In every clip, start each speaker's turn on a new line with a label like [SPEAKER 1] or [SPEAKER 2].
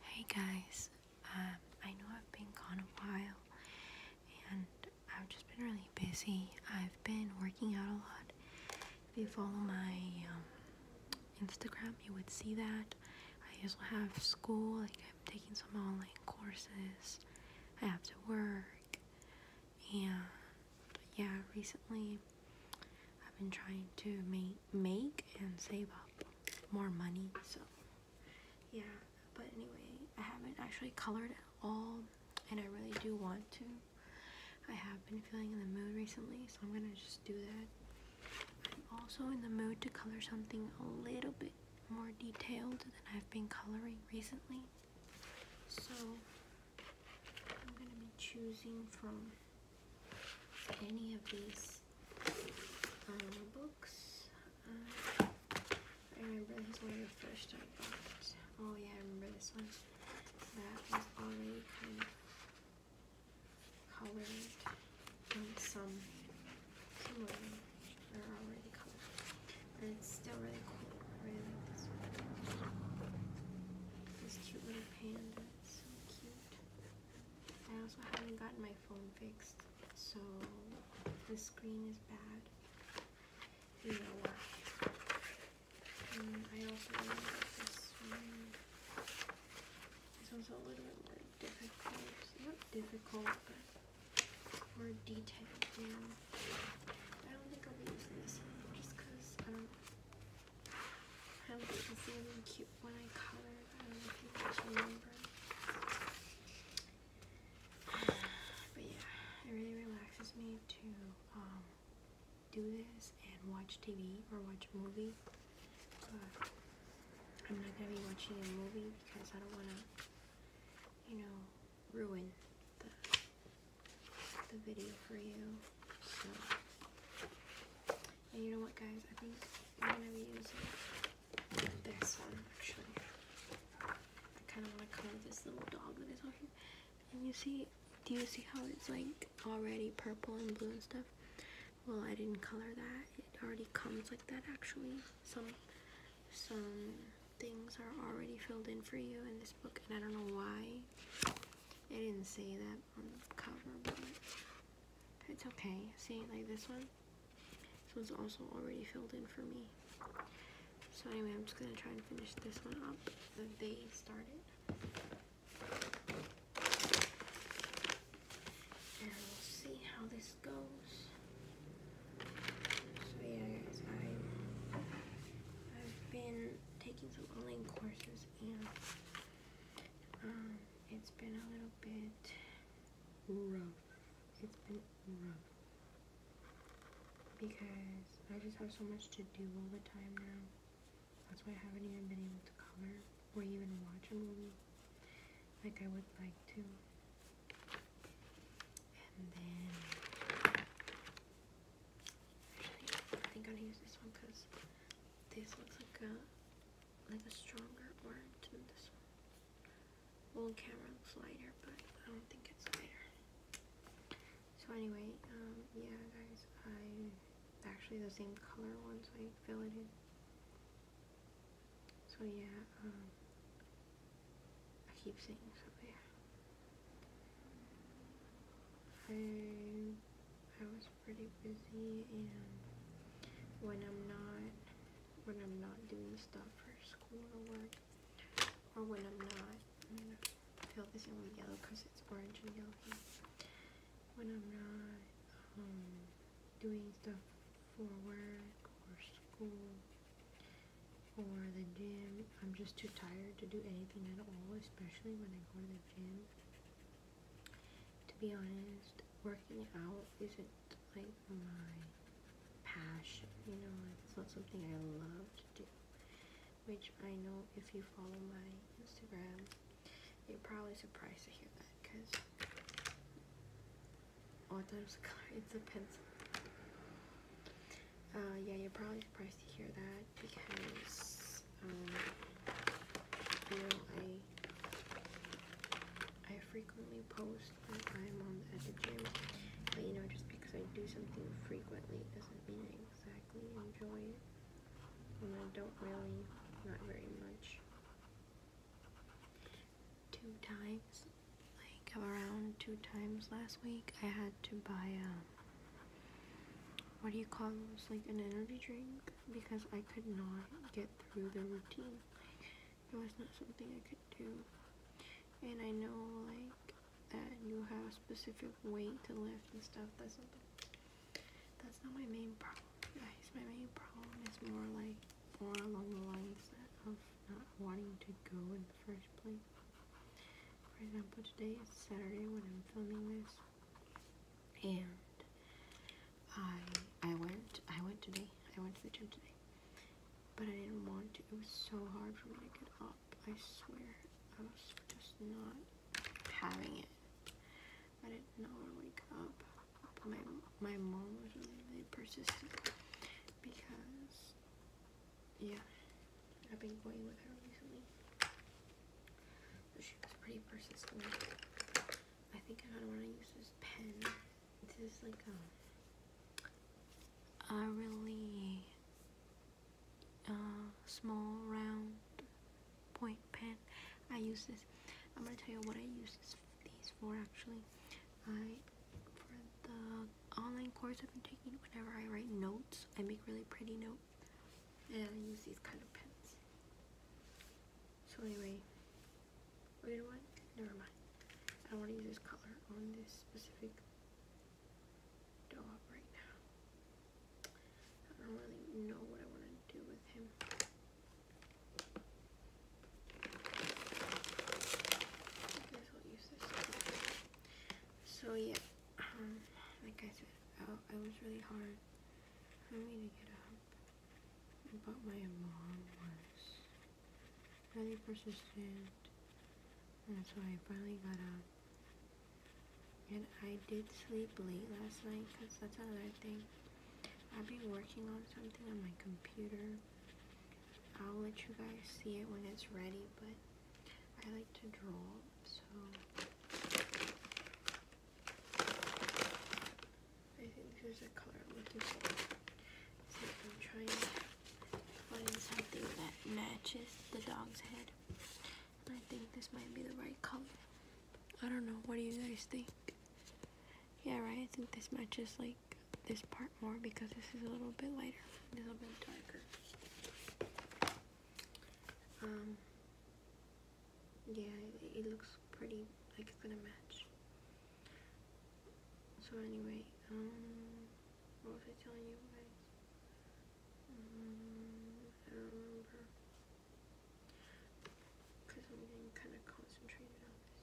[SPEAKER 1] Hey guys, um, I know I've been gone a while and I've just been really busy. I've been working out a lot. If you follow my um, Instagram, you would see that. I also have school, like I'm taking some online courses. I have to work. And yeah, recently I've been trying to make make and save up more money. So, yeah. But anyway, I haven't actually colored at all, and I really do want to. I have been feeling in the mood recently, so I'm gonna just do that. I'm also in the mood to color something a little bit more detailed than I've been coloring recently. So, I'm gonna be choosing from any of these um, books. Uh, I remember this one the first I got. Oh yeah, I remember this one. That was already kind of colored and some some of them are already colored. and it's still really cool. I really like this one. This cute little panda. So cute. I also haven't gotten my phone fixed, so the screen is bad. You know what? Mm, I also this one. It's also a little bit more difficult. Not difficult, more detailed. I don't think I'll be using this one just because But yeah, it really relaxes me to um, do this and watch TV or watch a movie. But I'm not gonna be watching a movie because I don't wanna, you know, ruin the the video for you. And you know what, guys? I think I'm gonna be using this one actually. I kind of want to color this little dog that is on here. And you see, do you see how it's like already purple and blue and stuff? Well, I didn't color that. It already comes like that actually. Some some things are already filled in for you in this book, and I don't know why. I didn't say that, it's okay. See, like this one? This one's also already filled in for me. So anyway, I'm just gonna try and finish this one up that they started. And we'll see how this goes. So yeah, guys, I've been taking some online courses and um, it's been a little bit rough. It's been rough because I just have so much to do all the time now. That's why I haven't even been able to cover or even watch a movie like I would like to. And then I think I'm gonna use this one because this looks like a like a stronger orange than this one. Well, on camera looks lighter, but I don't think it's lighter. So anyway, um, yeah, guys, I actually the same color once I filled it in. So yeah, um, I keep saying so yeah. I, I was pretty busy and when I'm not when I'm not doing stuff for school or work or when I'm not I'm gonna fill this in with yellow because it's orange and yellow when I'm not um, doing stuff for work or school or the gym I'm just too tired to do anything at all especially when I go to the to be honest, working out isn't like my passion, you know, it's not something I love to do. Which I know if you follow my Instagram, you're probably surprised to hear that because all times it's a pencil. Uh, yeah, you're probably surprised to hear that because um, you know I I frequently post when I'm on at the gym, but you know just because I do something frequently doesn't mean I exactly enjoy it, and I don't really, not very much. Two times, like around two times last week, I had to buy um what do you call those? Like an energy drink? Because I could not get through the routine. It was not something I could do. And I know, like, that you have a specific weight to lift and stuff. That's not, that's not my main problem, guys. My main problem is more like, more along the lines of not wanting to go in the first place. For example, today is Saturday when I'm filming this, and I I went I went today I went to the gym today, but I didn't want to. It was so hard for me to get up. I swear I was just not having it. I did not want to wake up. my my mom was really really persistent because yeah, I've been going with her recently. So she was pretty persistent. I think I kind of want to use this pen. This is like a, um, a really uh, small round point pen. I use this. I'm gonna tell you what I use this, these for actually. I for the online course I've been taking whenever I write notes. I make really pretty notes and I use these kind of pens. So anyway, oh, you know what? Never mind. I don't want to use this color on this specific dog right now. I don't really know what I want to do with him. I guess I'll use this. So yeah. Um, like I said, I, I was really hard for me to get up, but my mom was really persistent, and so I finally got up. And I did sleep late last night because that's another thing. I'll be working on something on my computer. I'll let you guys see it when it's ready, but I like to draw, so I think there's a color I'm looking for. So I'm trying to find something that matches the dog's head. I think this might be the right color. I don't know, what do you guys think? Yeah, right, I think this matches like this part more because this is a little bit lighter, a little bit darker. Um, yeah, it, looks pretty, like it's gonna match. So anyway, um, what was I telling you guys? Mm, I don't remember. Because I'm getting kind of concentrated on this.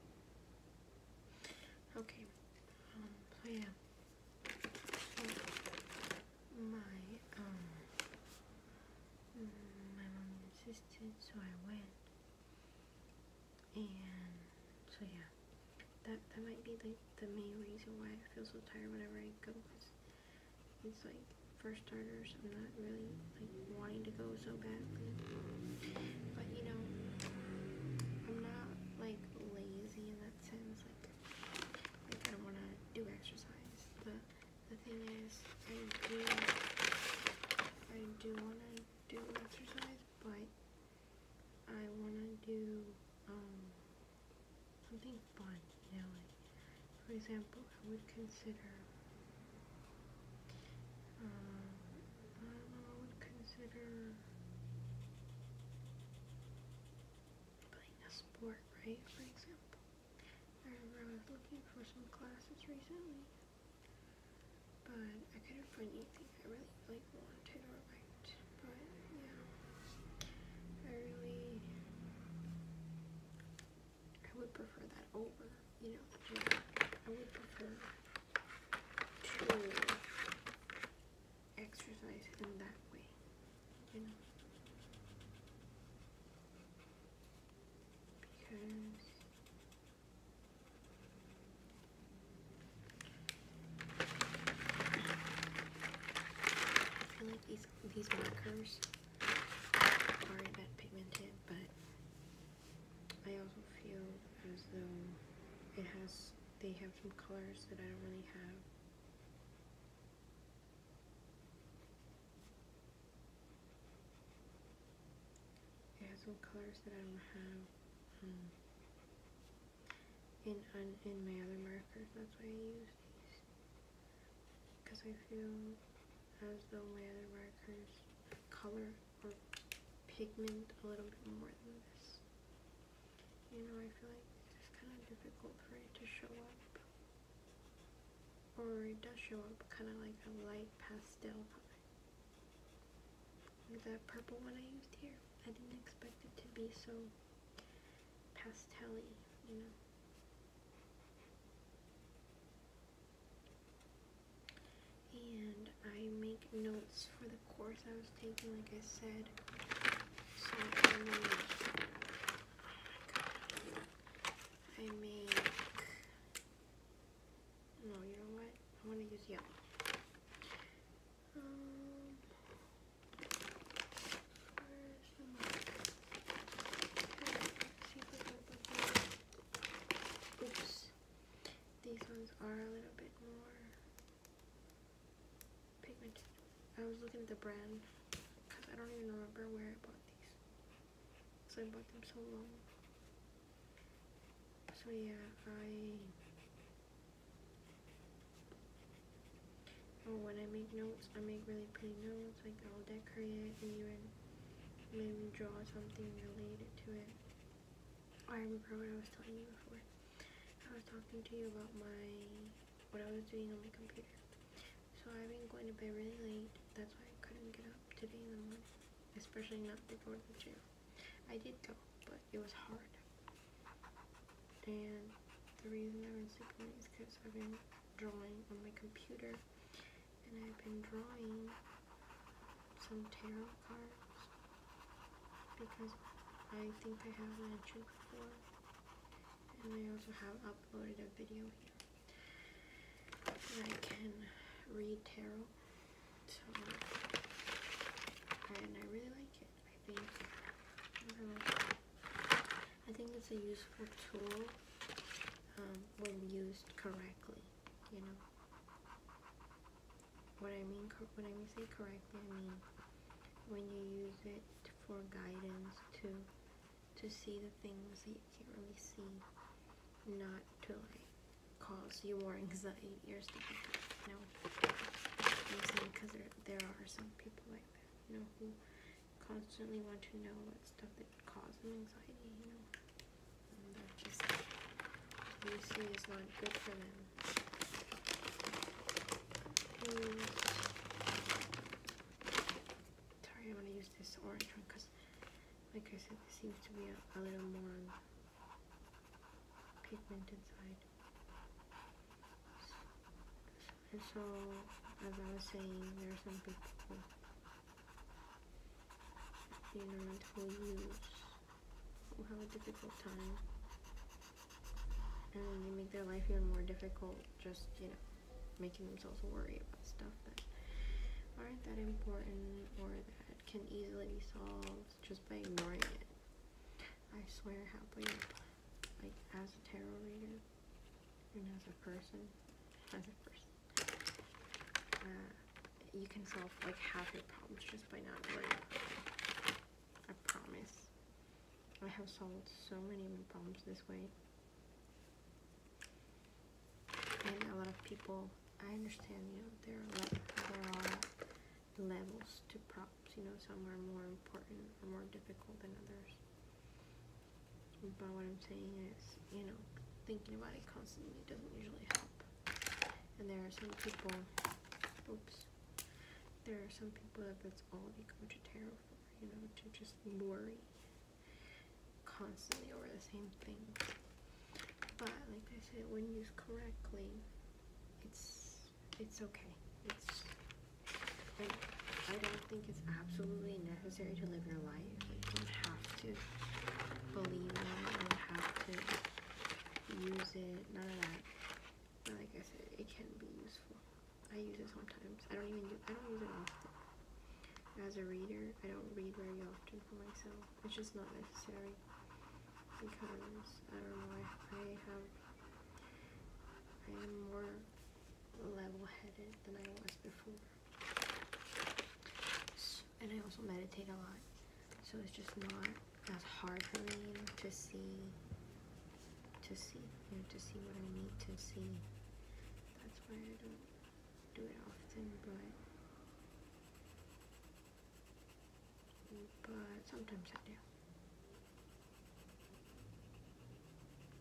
[SPEAKER 1] Okay, um, so yeah, my, um, my mom insisted, so I went, and so yeah, that, that might be like the main reason why I feel so tired whenever I go, it's like, first starters, I'm not really like wanting to go so badly. But you know, I'm not like lazy in that sense. Like, like I don't want to do exercise. But the thing is, I do, I do want to do exercise, but I want to do um something fun. You know, like for example, I would consider. I uh, would consider playing a sport, right? For example, I I was looking for some classes recently, but I couldn't find anything I really, like, wanted or liked. But yeah, I really I would prefer that over, you know, I would prefer to exercise in that way, you know. Because I feel like these these markers are a pigmented, but I also feel as though it has they have some colors that I don't really have. It has some colors that I don't have um, in in my other markers. That's why I use these because I feel as though my other markers color or pigment a little bit more than this. You know, I feel like it's kind of difficult for it to show up. Or it does show up kind of like a light pastel color. Like that purple one I used here. I didn't expect it to be so pastelly. you know. And I make notes for the course I was taking, like I said. So I make, no, you know what? I want to use yellow. Um, Oops. These ones are a little bit more pigmented. I was looking at the brand because I don't even remember where I bought these. So I bought them so long. So yeah, I... Oh, when I make notes, I make really pretty notes. Like, all that Korean maybe draw something related to it. I remember what I was telling you before. I was talking to you about my what I was doing on my computer. So I've been going to bed really late. That's why I couldn't get up today in the morning, especially not before the gym. I did go, but it was hard. And the reason I've been sleeping late is because I've been drawing on my computer and I've been drawing some tarot cards because I think I have mentioned before and I also have uploaded a video here where I can read tarot and I really like it I think I think it's a useful tool um, when used correctly, you know. What I mean, when I mean say correctly, I mean when you use it for guidance to to see the things that you can't really see, not to like cause you more anxiety or stuff like that. You know, because there there are some people like that, you know, who constantly want to know what stuff that causes anxiety, you know. And that just obviously is not good for them. Hmm. sorry, I want to use this orange one because, like I said, this seems to be a, a little more pigment inside. And so, as I was saying, there are some people, ignorant, who use, who have a difficult time, and they make their life even more difficult, just, you know, making themselves worry about stuff that aren't that important or that can easily be solved just by ignoring it. I swear, how about like, as a tarot reader, as a person, as a person, uh, you can solve like half your problems just by not worrying about I promise. I have solved so many problems this way. And a lot of people, I understand, you know, there are, there are levels to problems. You know, some are more important or more difficult than others. But what I'm saying is, you know, thinking about it constantly doesn't usually help. And there are some people, oops, there are some people that that's all they go to tarot for, you know, to just worry constantly over the same thing. But like I said, when used correctly, it's it's okay. It's I, don't think it's absolutely necessary to live your life. Like, you don't have to believe in it, you have to use it, none of that. But like I said, it can be useful. I use it sometimes. I don't even use, I don't use it often. As a reader, I don't read very often for myself. It's just not necessary because I don't know. I have I am more level-headed than I was before. and I also meditate a lot, so it's just not as hard for me to see, to see, to see what I need to see. That's why I don't do it often, but sometimes I do.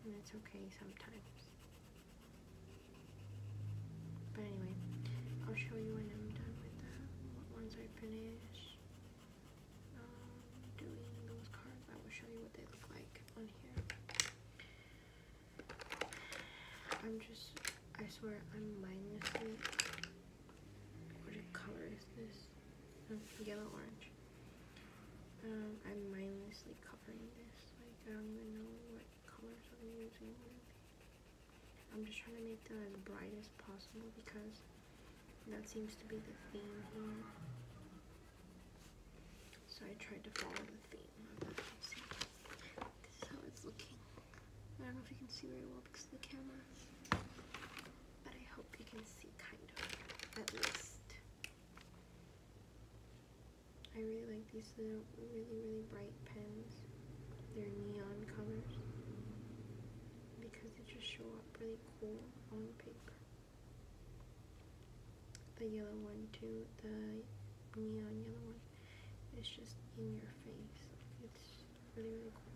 [SPEAKER 1] That's okay sometimes. But anyway, I'll show you when I'm done with that. Once I finish um, doing those cards, I will show you what they look like on here. I'm just, I swear, I'm mindlessly. What color is this? Hmm, yellow orange. Um, I'm mindlessly covering this. Like, I don't even know what colors I'm using. I'm just trying to make them as bright as possible because that seems to be the theme here. So I tried to follow the theme This is how it's looking. I don't know if you can see very well because of the camera. But I hope you can see kind of, at least. I really like these little really really bright pens. They're neon colors because they just show up really cool on paper. The yellow one too, the neon yellow one. It's just in your face. It's really really cool.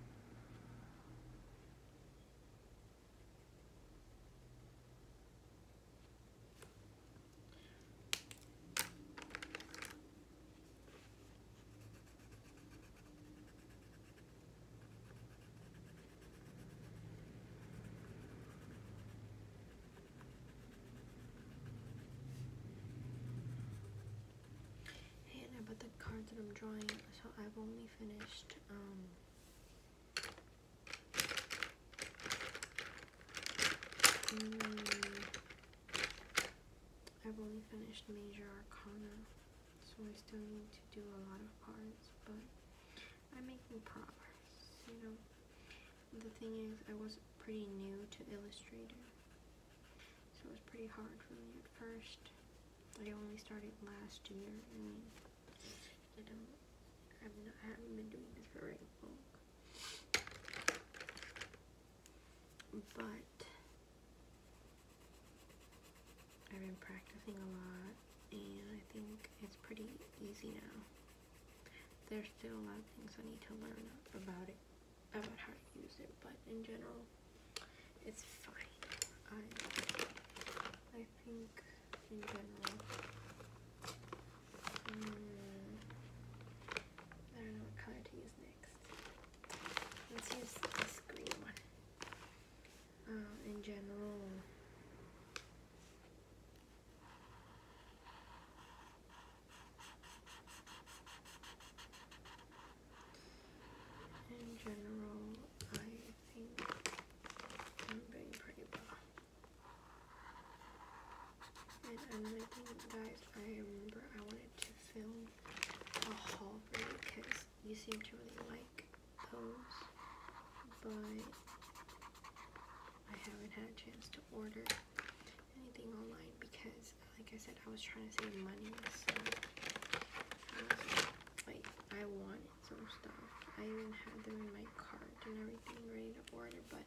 [SPEAKER 1] And about the cards that I'm drawing, so I've only finished um, Mm. I've only finished Major Arcana, so I still need to do a lot of cards, but I'm making progress, you know. The thing is, I was pretty new to Illustrator, so it was pretty hard for me at first. I only started last year, you know, I mean, I haven't been doing this for very long. But I've been practicing a lot and I think it's pretty easy now. There's still a lot of things I need to learn about it, about how to use it, but in general, it's fine. I think in general. Hmm. I don't know what color to use next. Let's use this green one. Um, in general. In general, I I'm being pretty bad. And i another thing, guys, I remember I wanted to film a haul for you because you seem to really like those, but I haven't had a chance to order anything online because, like I said, I was trying to save money, so, um, like, I want some stuff. I even had them in my cart and everything ready to order, but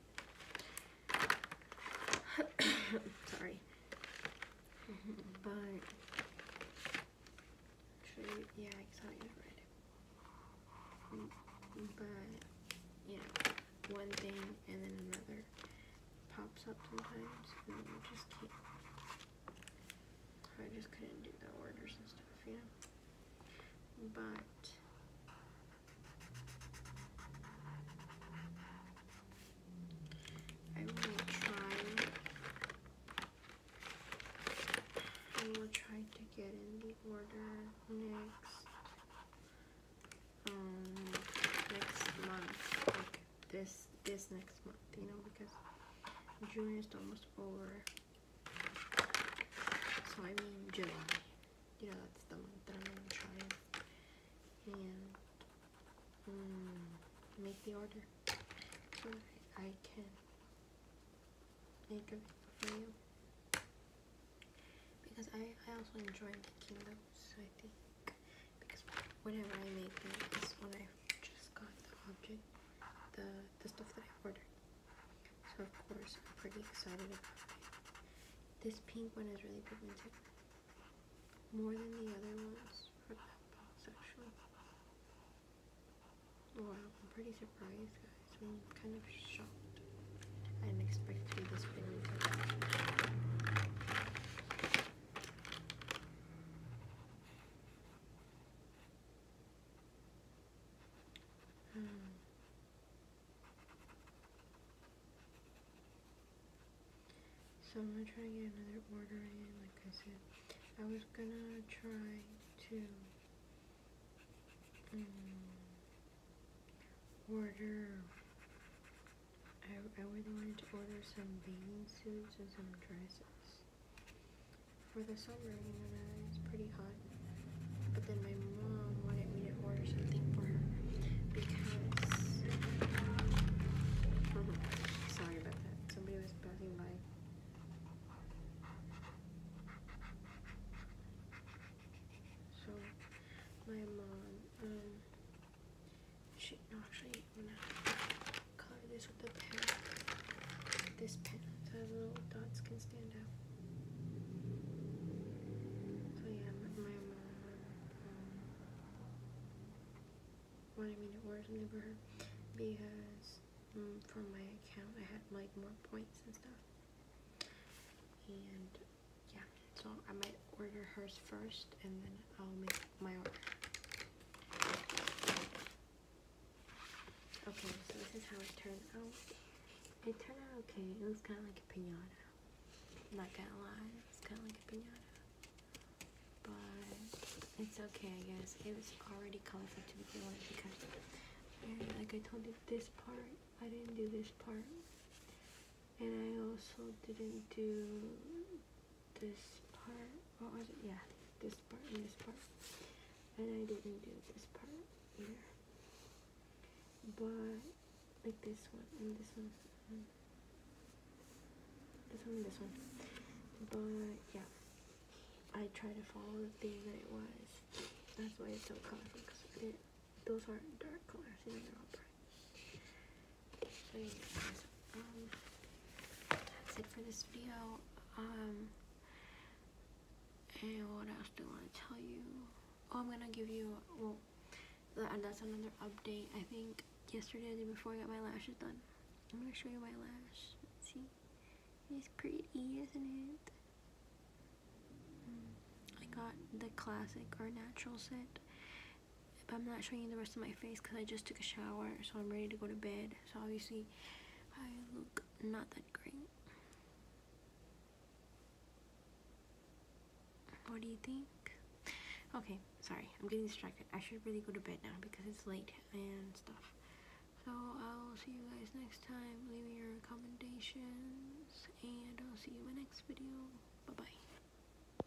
[SPEAKER 1] sorry. Mm-hmm. but true, yeah, I saw you read it. Mm, but you know, one thing and then another pops up sometimes, and you just can't I just couldn't do the orders and stuff, you know. But I will try. I will try to get in the order next. Um, next month this this next month, you know, because June is almost over. So I mean July. You know, that's the month that I'm gonna try it. And mm, make the order so I, I can make a video for you. Because I, I also enjoy making those, I think. Because whenever I make them is I just got the object, the, the stuff that I ordered. So of course I'm pretty excited about it. This pink one is really pigmented. More than the other ones from that box I'm pretty surprised guys. I'm kind of shocked. I didn't expect to be this pigmented. Mm. So I'm gonna try and get another order in, like I said. I was gonna try to um, order, I, I really wanted to order some bathing suits and some dresses for the summer, you know, it's pretty hot. But then my mom wanted me to order something for her because. Sorry about that. Somebody was passing by. So, my mom, um, Shit, actually, I'm gonna color this with the pen. This pen, so the little dots can stand out. So yeah, my mom, um, wanted me to order her because from my account I had like more points and stuff. And yeah, so I might order hers first and then I'll make my order. Okay, so this is how it turned out. It turned out okay. It looks kind of like a pinata. not gonna lie, it's kind of like a pinata. But it's okay, I guess. It was already colorful to begin with because, like I told you, this part, I didn't do this part. And I also didn't do this part. What was it? Yeah, this part and this part. And I didn't do this part either. But like this one and this one. this one and this one. But yeah. I try to follow the theme that it was. That's why it's so colorful because those aren't dark colors, you know, they're all bright. Um, that's it for this video. Um, and what else do I want to tell you? Oh, I'm gonna give you, well, that's another update. I think yesterday, the day before, I got my lashes done. I'm gonna show you my lash. Let's see, it's pretty, isn't it? Hmm. I got the classic or natural set, but I'm not showing you the rest of my face because I just took a shower so I'm ready to go to bed so obviously I look not that great what do you think okay sorry I'm getting distracted I should really go to bed now because it's late and stuff so I'll see you guys next time leave me your recommendations and I'll see you in my next video bye bye